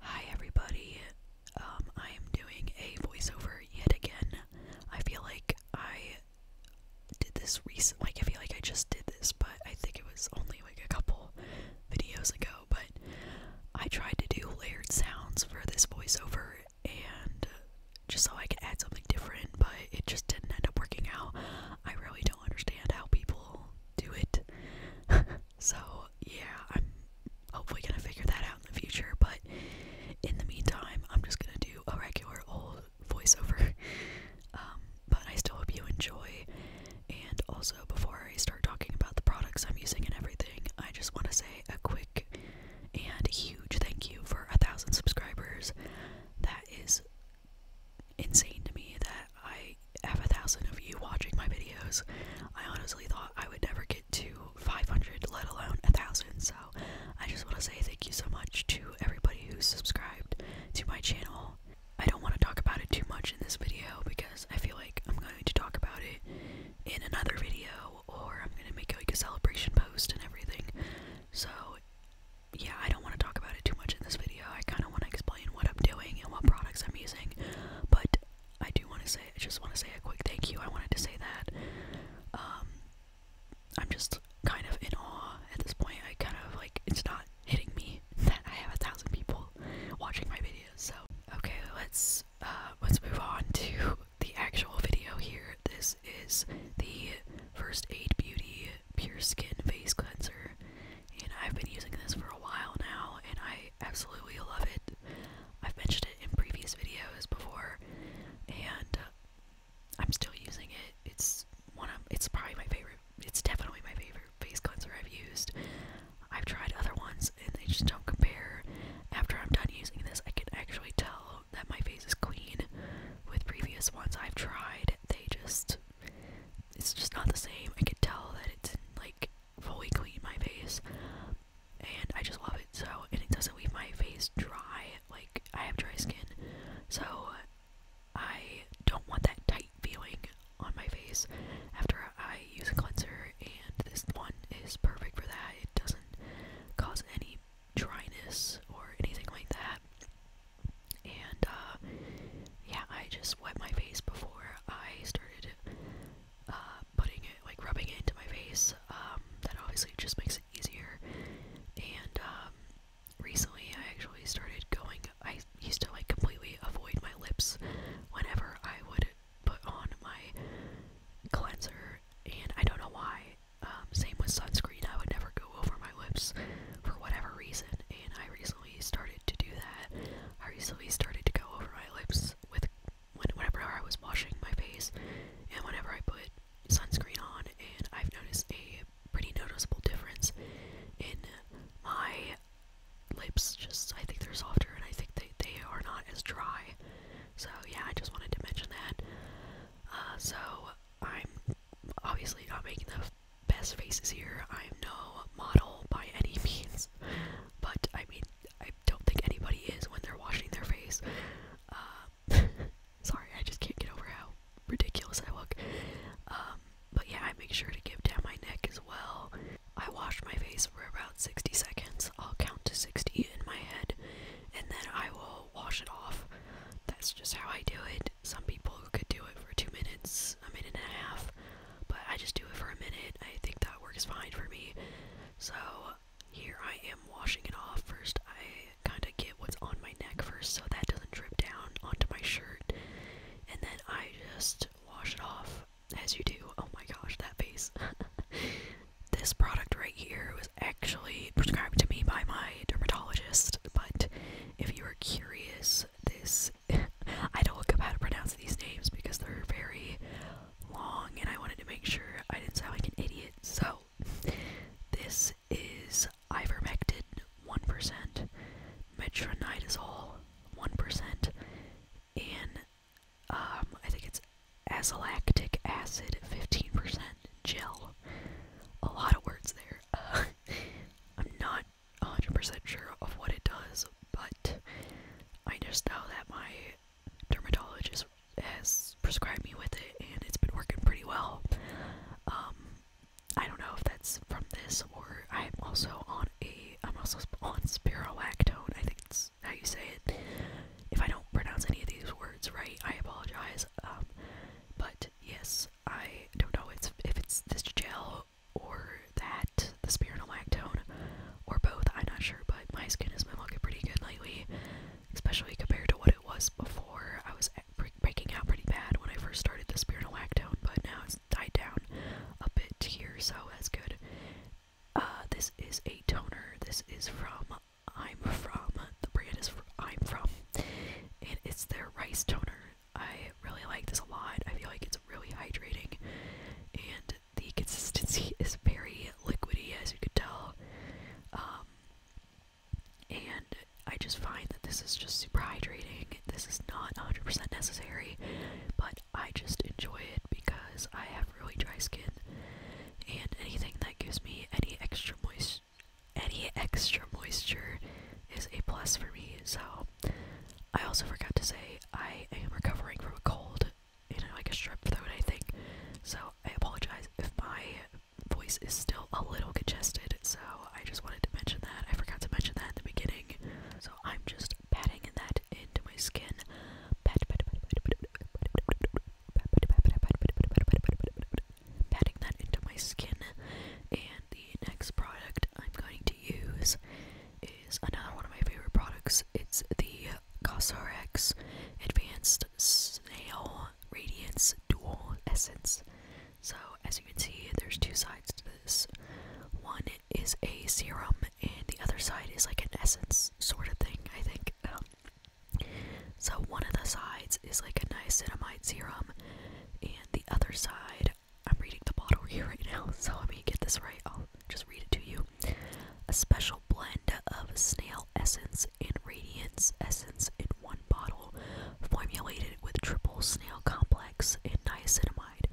Hi everybody. Um, I am doing a voiceover yet again. I feel like I did this recent like I feel like I just did this, but I think it was only like a couple videos ago, but I tried to do layered sounds for this voiceover and just so I could add something different, but it just didn't end up working out. I really don't understand how people do it. So, yeah, I'm hopefully gonna figure that out in the future, but in the meantime, I'm just gonna do a regular old voiceover. Um, but I still hope you enjoy. And also, before I start talking about the products I'm using and everything, I just want to say a quick and huge thank you for a thousand subscribers. That is insane to me that I have a thousand of you watching my videos. I honestly thought I would never get to 500, let alone a thousand. So I just want to say thank you so much to everybody who subscribed to my channel. I don't want to talk about it too much in this video because I feel like I'm going to talk about it in another video or I'm going to make like a celebration post and everything. So yeah, I don't want to talk about it too much in this video. I kind of want to explain what I'm doing and what products I'm using, but I do want to say, I just want to say a quick thank you. I wanted to say that. Um, I'm just kind of in awe at this point. I kind of like, it's not hitting me that I have a thousand people watching my video. So, okay, let's, uh, let's move on to the actual video here. This is the First Aid Beauty Pure Skin Face Cleanser. And I've been using this for a while now, and I I absolutely love it. I've mentioned it in previous videos before, and uh, I'm still using it. It's one of it's probably my favorite. It's definitely my favorite face cleanser I've used. I've tried other ones and they just don't compare. After I'm done using this, I can actually tell that my face is clean. With previous ones I've tried, they just it's just not the same. I can tell that it's like fully clean my face and I just love it so and it doesn't leave my face dry like I have dry skin so I don't want that tight feeling on my face after I use a cleanser and this one is perfect for that it doesn't cause any dryness or anything like that and uh, yeah I just wet my face before I started uh, putting it, like rubbing it into my face, um, that obviously just makes it easier. And um, recently I actually started going, I used to like completely avoid my lips whenever I would put on my cleanser, and I don't know why. Um, same with sunscreen, I would never go over my lips for whatever reason, and I recently started to do that. I recently started to go over my lips with whenever I was washing my face and whenever I put sunscreen on, and I've noticed a pretty noticeable difference in my lips. Just I think they're softer, and I think they they are not as dry. So yeah, I just wanted to mention that. Uh, so I'm obviously not making the best faces here. I'm no model by any means, but I mean I don't think anybody is when they're washing their face. Uh, sorry, I just can't get over how ridiculous I look. Um, but yeah, I make sure to give down my neck as well. I wash my face for about 60 seconds. I'll count to 60 in my head, and then I will wash it off. That's just how I do it. Some people could do it for two minutes, a minute and a half but I just do it for a minute. I think that works fine for me. So here I am washing it off first. I kind of get what's on my neck first so that doesn't drip down onto my shirt. And then I just wash it off as you do. Oh my gosh, that face. this product right here was actually prescribed to me by my dermatologist, but if you are curious, this I don't look up how to pronounce these names because they're very long and I wanted to make sure I didn't sound like an idiot. So, this is ivermectin 1%, metronidazole 1%, and um, I think it's azelactic acid 15% gel. A lot of words there. I'm not 100% sure of what it does, but I just know that my dermatologist has prescribed me with it and it's been working pretty well. Um, I don't know if that's from this or I'm also on a I'm also on spirolactone. I think that's how you say it. If I don't pronounce any of these words right, I apologize. Um, but yes, I don't know it's, if it's this gel or that, the Spear and a Lactone, or both, I'm not sure, but my skin has been looking pretty good lately, especially compared to what it was before. I was breaking out pretty bad when I first started the Spear and a Lactone, but now it's tied down a bit here, so that's good. Uh, this is a toner. This is from I'm From. The brand is from I'm From. And it's their rice toner. I really like this a lot. I feel like it's really hydrating. And the consistency is very liquidy, as you could tell. Um, and I just find that this is just super hydrating. This is not 100% necessary, but I just enjoy it because I have really dry skin, and anything that gives me any extra moist, any extra moisture, is a plus for me. So, I also forgot to say I am recovering from a cold, you know, like a strep throat, I think. So I apologize if my voice is still a little congested, so I just wanted to mention that. I forgot to mention that in the beginning. So I'm just patting that into my skin. patting that into my skin. And the next product I'm going to use is another one of my favorite products. It's the CosRx Advanced Snail Radiance Dual Essence. So, as you can see, there's two sides to this. One is a serum, and the other side is like an essence sort of thing, I think. Um, so, one of the sides is like a niacinamide serum, and the other side, I'm reading the bottle here right now, so let me get this right. I'll just read it to you. A special blend of snail essence and radiance essence in one bottle, formulated with triple snail complex and niacinamide.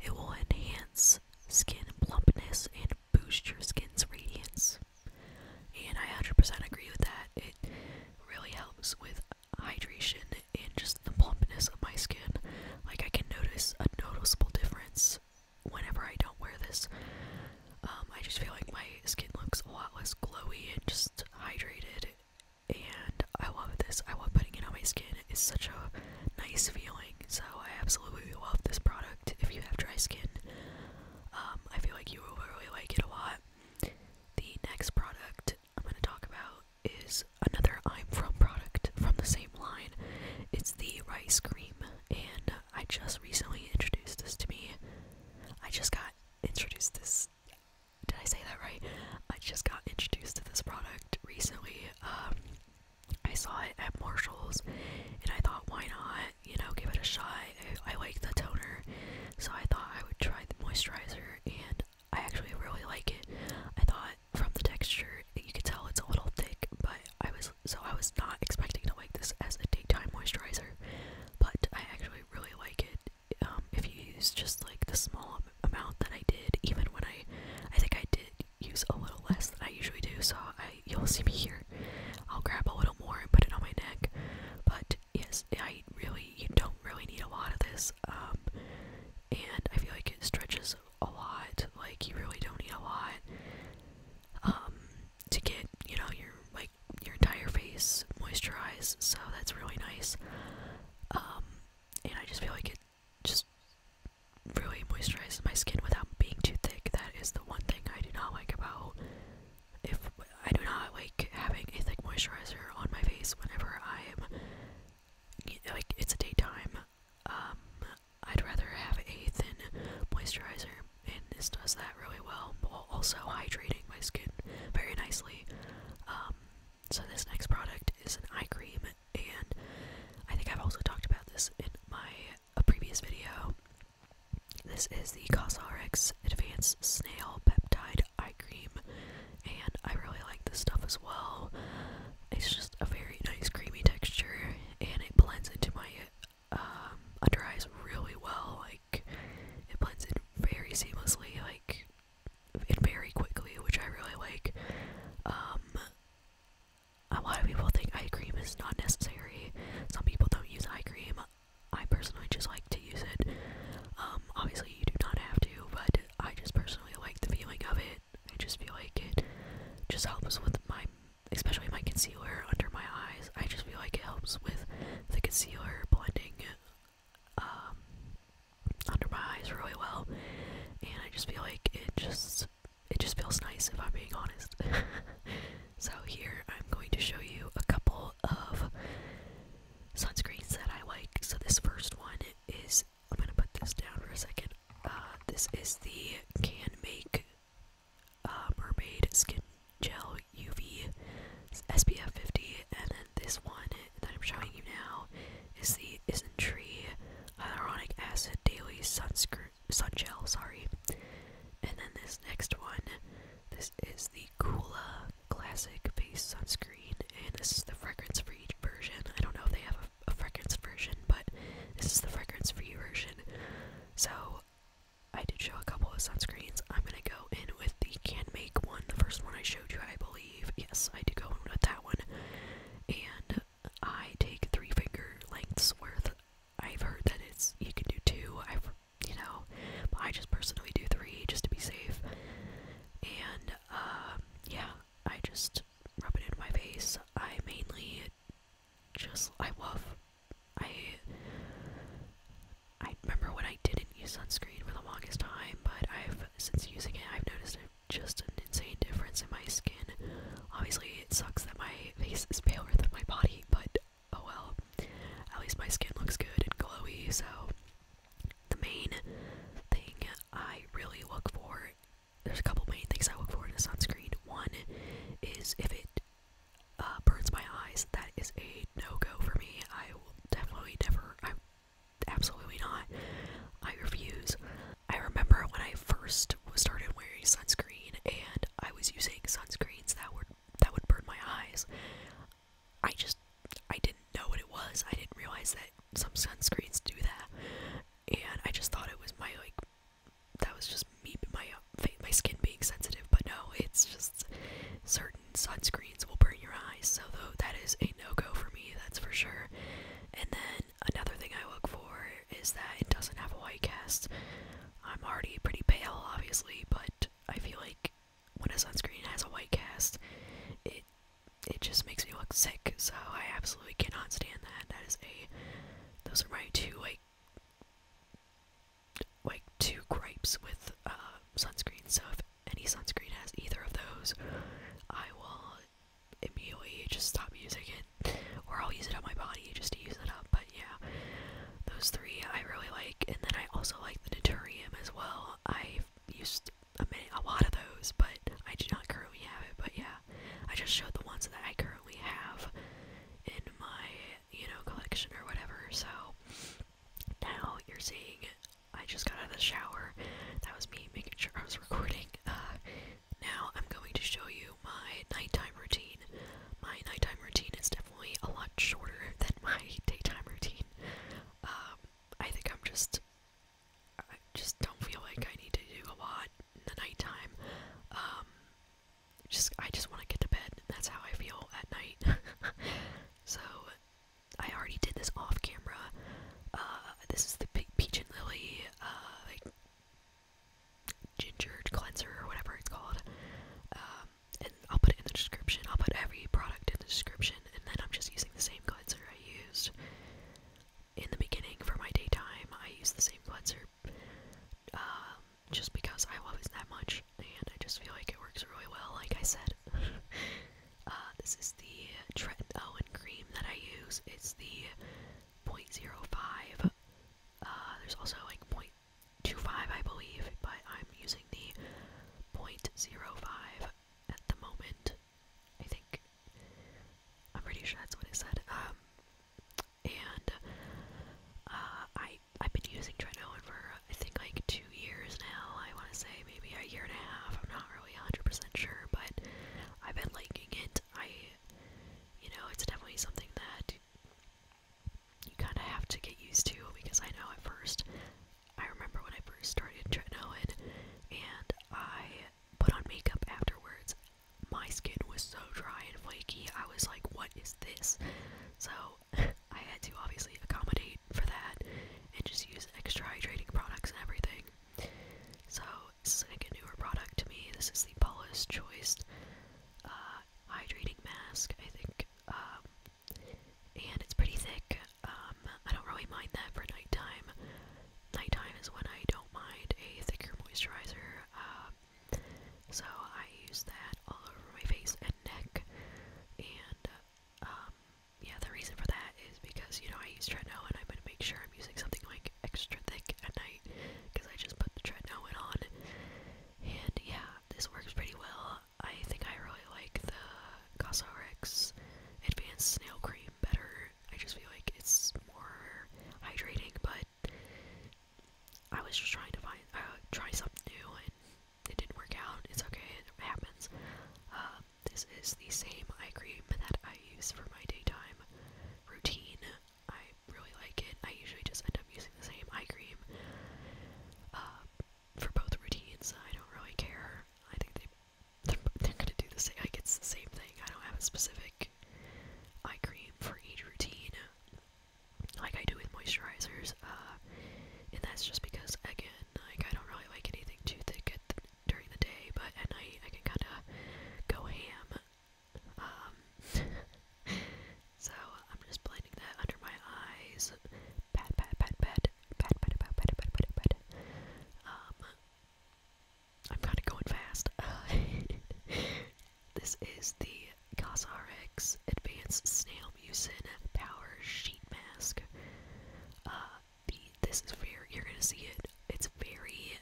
It will enhance skin plumpness and boost your skin's radiance. And I 100% agree with that. It really helps with hydration and just the plumpness of my skin. Like, I can notice a noticeable difference whenever I don't wear this, um, I just feel like my skin looks a lot less glowy and just hydrated. And I love this. I love putting it on my skin. It's such a nice feeling. So I absolutely love this product. If you have dry skin, um, I feel like you will really like it a lot. The next product I'm going to talk about is another I'm From product from the same line. It's the rice cream, and I just recently introduced this to me. I just got introduced this. Did I say that right? I just got introduced to this product recently. Um, I saw it at Marshalls, and I thought, why not? You know, give it a shot. I, I like the toner, so I thought I would try the moisturizer, and I actually really like it. I thought from the texture, you could tell it's a little thick, but I was so I was not expecting to like this as a daytime moisturizer, but I actually really like it. Um, if you use just like the small amount that I did, even when I, I think I did use a little less than I usually do, so I you'll see me here. I'll grab a little more and put it on my neck, but yes, I really you don't really need a lot of this, um, and I feel like it stretches a lot. Like you really don't need a lot um, to get you know your like your entire face moisturized. So that's really nice. Um, and I just feel like it just really moisturizes my skin without being too thick. That is the one thing I do not like about if I do not like having a thick moisturizer on my face whenever I am like it's a daytime um I'd rather have a thin moisturizer, and this does that really well, also hydrating my skin very nicely. Um, so this next product is an eye cream, and I think I've also talked about this in my a previous video. This is the CosRx Advanced Snail Peptide Eye Cream, and I really like this stuff as well. It's just a very nice creamy texture, and it blends into my under um, eyes really well. Like it blends in very seamlessly, like and very quickly, which I really like. Um, a lot of people think eye cream is not necessary. Some people don't use eye cream. I personally just like to use it. Um, obviously you do not have to, but I just personally like the feeling of it I just feel like it just helps with my, especially my concealer under my eyes. I just feel like it helps with the concealer blending um, under my eyes really well, and I just feel like it just it just feels nice if I'm being honest. so here I'm going to show you a couple of sunscreens that I like. So this first one is I'm gonna put this down for a second. Uh, this is the Can Make uh, Mermaid Skin Gel UV SPF 50, and then this one that I'm showing you now is the Isn't Tree Hyaluronic Acid Daily Sunscreen Sun Gel. Sorry, and then this next one, this is the Kula Classic Face Sunscreen, and this is the fragrance for each version. I don't know if they have a a, fragrance version, but this is the fragrance free version. So I did show a couple of sunscreens. I'm gonna go in with the Can Make one, the first one I showed you, I believe. Yes, I did go in with that one. And I take three finger lengths worth. I've heard that it's you can do two. I've you know, I just personally do three just to be safe. And um, yeah, I just rub it in my face. I mainly just I love I I remember when I didn't use sunscreen for the longest time, but I've since using it I've noticed just an insane difference in my skin. Obviously it sucks that my face is paler than my body, but oh well. At least my skin looks good and glowy, so the main thing I really look for there's a couple main things I look for in a sunscreen. One is if it uh, burns my eyes, that is a no go for me. I will definitely never. I absolutely not. I refuse. I remember when I first started wearing sunscreen, and I was using sunscreens that would that would burn my eyes. I just I didn't know what it was. I didn't realize that some sunscreens do that, and I just thought it was my like that was just me, my my skin being sensitive. But no, it's just certain sunscreens will burn your eyes, so though that is a no go for me. That's for sure. And then another thing I look for is that it doesn't have a white cast. I'm already pretty pale, obviously, but I feel like when a sunscreen has a white cast, it it just makes me look sick. So I absolutely cannot stand that. That is a those are my two like like two gripes with uh, sunscreen. So if any sunscreen has either of those, I will immediately just stop using it, or I'll use it on my body just to use it up. But yeah, those three I really like, and then I also like the Naturium as well. I've used a, a lot of those, but I do not currently have it. But yeah, I just showed the ones that I currently have in my, you know, collection or whatever. So now you're seeing I just got out of the shower. That was me making sure I was recording. Uh, now I'm going to show you my nighttime routine. My nighttime routine is definitely a lot shorter than my daytime routine. Um, I think I'm just I just don't feel like I need to do a lot the nighttime. Um, just I just want to get to bed. That's how I feel at night. so I already did this off camera. Uh, this is the Pe peach and lily uh, ginger cleanser or whatever it's called. Um, and I'll put it in the description. I'll put every product in the description, and then I'm just using the same cleanser I used in the beginning for my daytime. I use the same cleanser um, just because I love it that much, and I just feel like it works really well, like I said. Uh, this is the Trenton Owen cream that I use. It's the point zero five. Uh, there's also like 0.25, I believe, but I'm using the point zero five at the moment. I think. I'm pretty sure that's what it said. Um, and uh, I I've been using Trinoin for I think like two years now. I want to say maybe a year and a half. I'm not really 100% sure, but I've been liking it. I, you know, it's definitely something that you kind of have to get used to because I know at first I remember when I first started Tretinoin and I put on makeup afterwards, my skin was so dry and flaky. I was like, what is this? So I had to obviously accommodate for that and just use extra hydrating products and everything. So this is like a newer product to me. This is the Paula's Choice uh, hydrating mask, I think. Um, and it's pretty thick. Um, I don't really mind that for nighttime. Nighttime is when I don't mind a thicker moisturizer. Um, so I use that all over my face and neck, and uh, um, yeah, the reason for that is because you know I use tretinoin, and I'm gonna make sure I'm using something like extra thick at night because I just put the tretinoin on, and yeah, this works pretty well. I think I really like the Cosrx Advanced Snail Cream better. I just feel like it's more hydrating, but I was just trying to find, uh, try something new, and it didn't work out. It's okay, it happens. Uh, this is the same eye cream that I use for my daytime routine. I really like it. I usually just end up using the same eye cream uh, for both routines. I don't really care. I think they are gonna do the same. Like it's the same thing. I don't have a specific like eye cream for each routine, like I do with moisturizers. and that's just because, again, like I don't really like anything too thick during the day, but at night I can kind of go ham. Um, so I'm just blending that under my eyes. Pat, pat, pat, pat, pat, pat, pat, pat, pat, pat, pat. Um, I'm kind of going fast. this is the CosRX Advanced Snail Mucin Power Sheet Mask. Uh, the, this is very, you're gonna see it, it's very,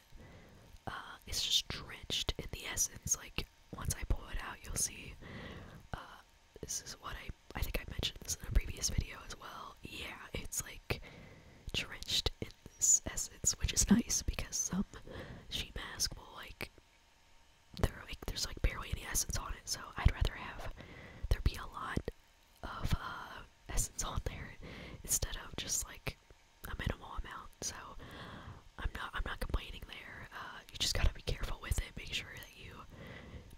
uh, it's just drenched in the essence, like, once I pull it out, you'll see, uh, this is what I, I think I mentioned this in a previous video as well, yeah, it's like, drenched in essence, which is nice because some sheet mask will like there like there's like barely any essence on it, so I'd rather have there be a lot of uh, essence on there instead of just like a minimal amount. So I'm not I'm not complaining there. Uh, you just gotta be careful with it. Make sure that you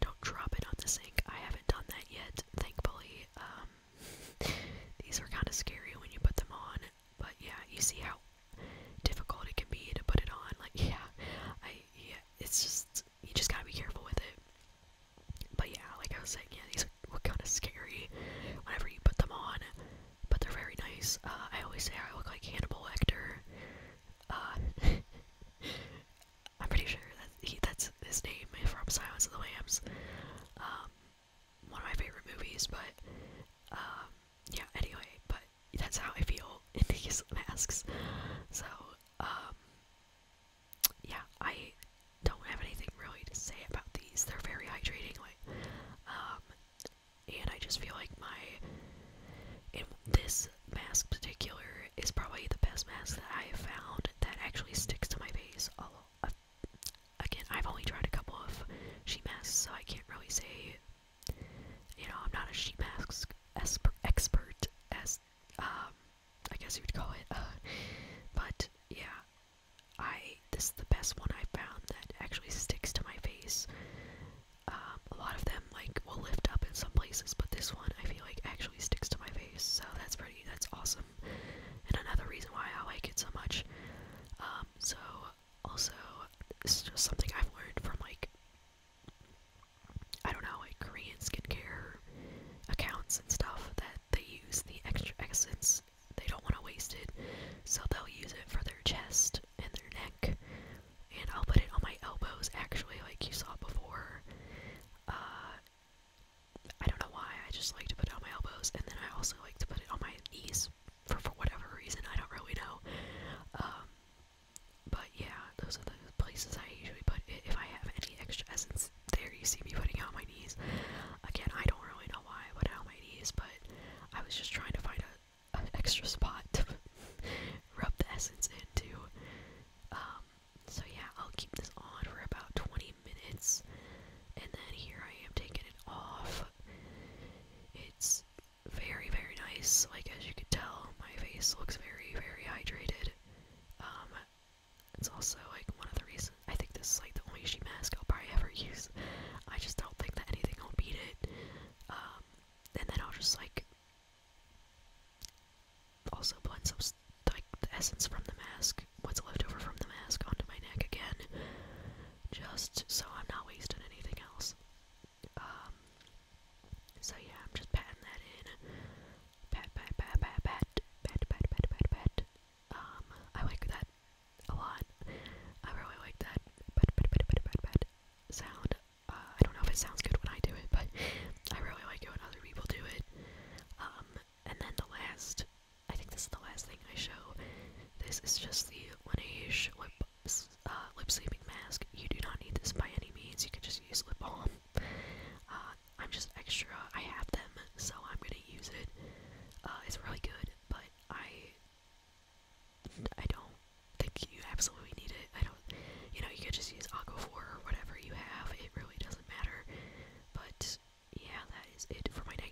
don't drop it on the sink. I haven't done that yet, thankfully. Um, these are kind of scary when you put them on. But yeah, you see how difficult it can be to put it on. Like yeah, I yeah, it's just you just gotta be careful with it. But yeah, like I was saying, yeah, these are kind of scary whenever you put them on, but they're very nice. Uh, I always say I look like Hannibal Lecter. Uh, I'm pretty sure that he, that's his name from Silence of the Lambs. Um, one of my favorite movies, but um, yeah, anyway, but that's how I feel in these masks. So, um, yeah, I don't have anything really to say about these. They're very hydrating, like, um, and I just feel like my, and this mask in particular is probably the best mask that I have found that actually sticks to my face a, a again, I've only tried a couple of sheet masks, so I can't really say, you know, I'm not a sheet mask expert, as, um, I guess you would call it, uh, but, yeah, I, this is the best one I found that actually sticks to my face, um, a lot of them, like, will lift up in some places, but this one, I feel like, actually sticks to my face, so that's pretty, that's awesome, and another reason why I like it so much, um, so, also, this is just something I've learned from like I don't know, like Korean skincare accounts and stuff that they use the extra essence. They don't want to waste it, so they'll use it for their chest and their neck. And I'll put it on my elbows, actually, like you saw before. Uh, I don't know why. I just like to put it on my elbows, and then I also like to put it on my knees for, for whatever reason, I don't really know. Um, but yeah, those are the places I usually put it. If I have any extra essence there, you see me putting out my knees. Again, I don't really know why I put out my knees, but I was just trying to find a, an extra spot to rub the essence into. Um, so yeah, I'll keep this on for about 20 minutes, and then here I am taking it off. It's very, very nice. Like, as you can tell, my face looks very, very hydrated. Um, it's also, like, one of the reasons I think this is, like, the only sheet mask I'll probably ever use. I just don't think that anything will beat it. Um, and then I'll just, like, also blend some, like, the essence from the mask, what's left over from the mask, onto my neck again just so I'm not wasting anything else. so yeah, I'm just patting that in. Pat, pat, pat, pat, pat, pat, pat, pat, pat, pat. Um, I like that a lot. I really like that pat, pat, pat, pat, pat, pat sound. I don't know if it sounds good when I do it, but I really like it when other people do it. Um, and then the last I think this is the last thing I show. This is just the Laneige lip, uh, lip sleeping mask. You do not need this by any means. You can just use lip balm. Uh, I'm just extra. I have them, so I'm gonna use it. Uh, it's really good, but I, I don't think you absolutely need it. I don't. You know, you could just use Aquaphor or whatever you have. It really doesn't matter. But yeah, that that is it for my night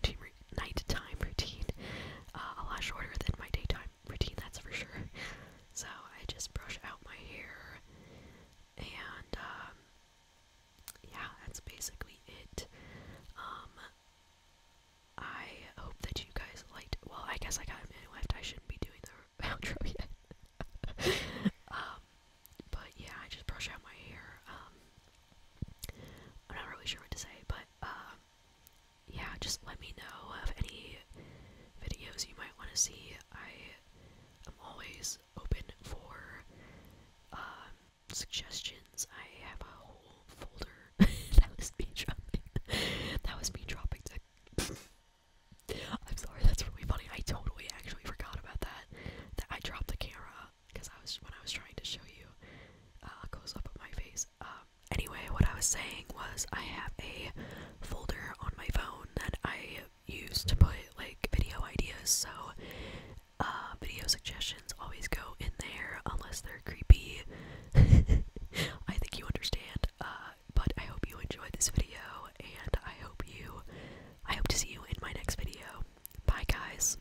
time routine. Uh, a lot shorter than my daytime routine, that's for sure. So I just brush out my hair, and um, yeah, that's basically it. Um, I hope that you guys liked. Well, I guess I got a minute left. I shouldn't be doing the outro yet. Um, but yeah, I just brush out my hair. I'm not really sure what to say, but yeah, just let me know of any videos you might want to see. I am always open for um, suggestions. I have a whole folder. that was me dropping. that was me dropping. To I'm sorry, that's really funny. I totally actually forgot about that. That I dropped the camera because I was when I was trying to show you, uh, a close up of my face. Um, anyway, what I was saying was I have a folder on my phone that I use to put like video ideas. So, uh, video suggestions always go in there unless they're creepy. I think you understand. Uh, but I hope you enjoyed this video, and I hope you, I hope to see you in my next video. Bye, guys.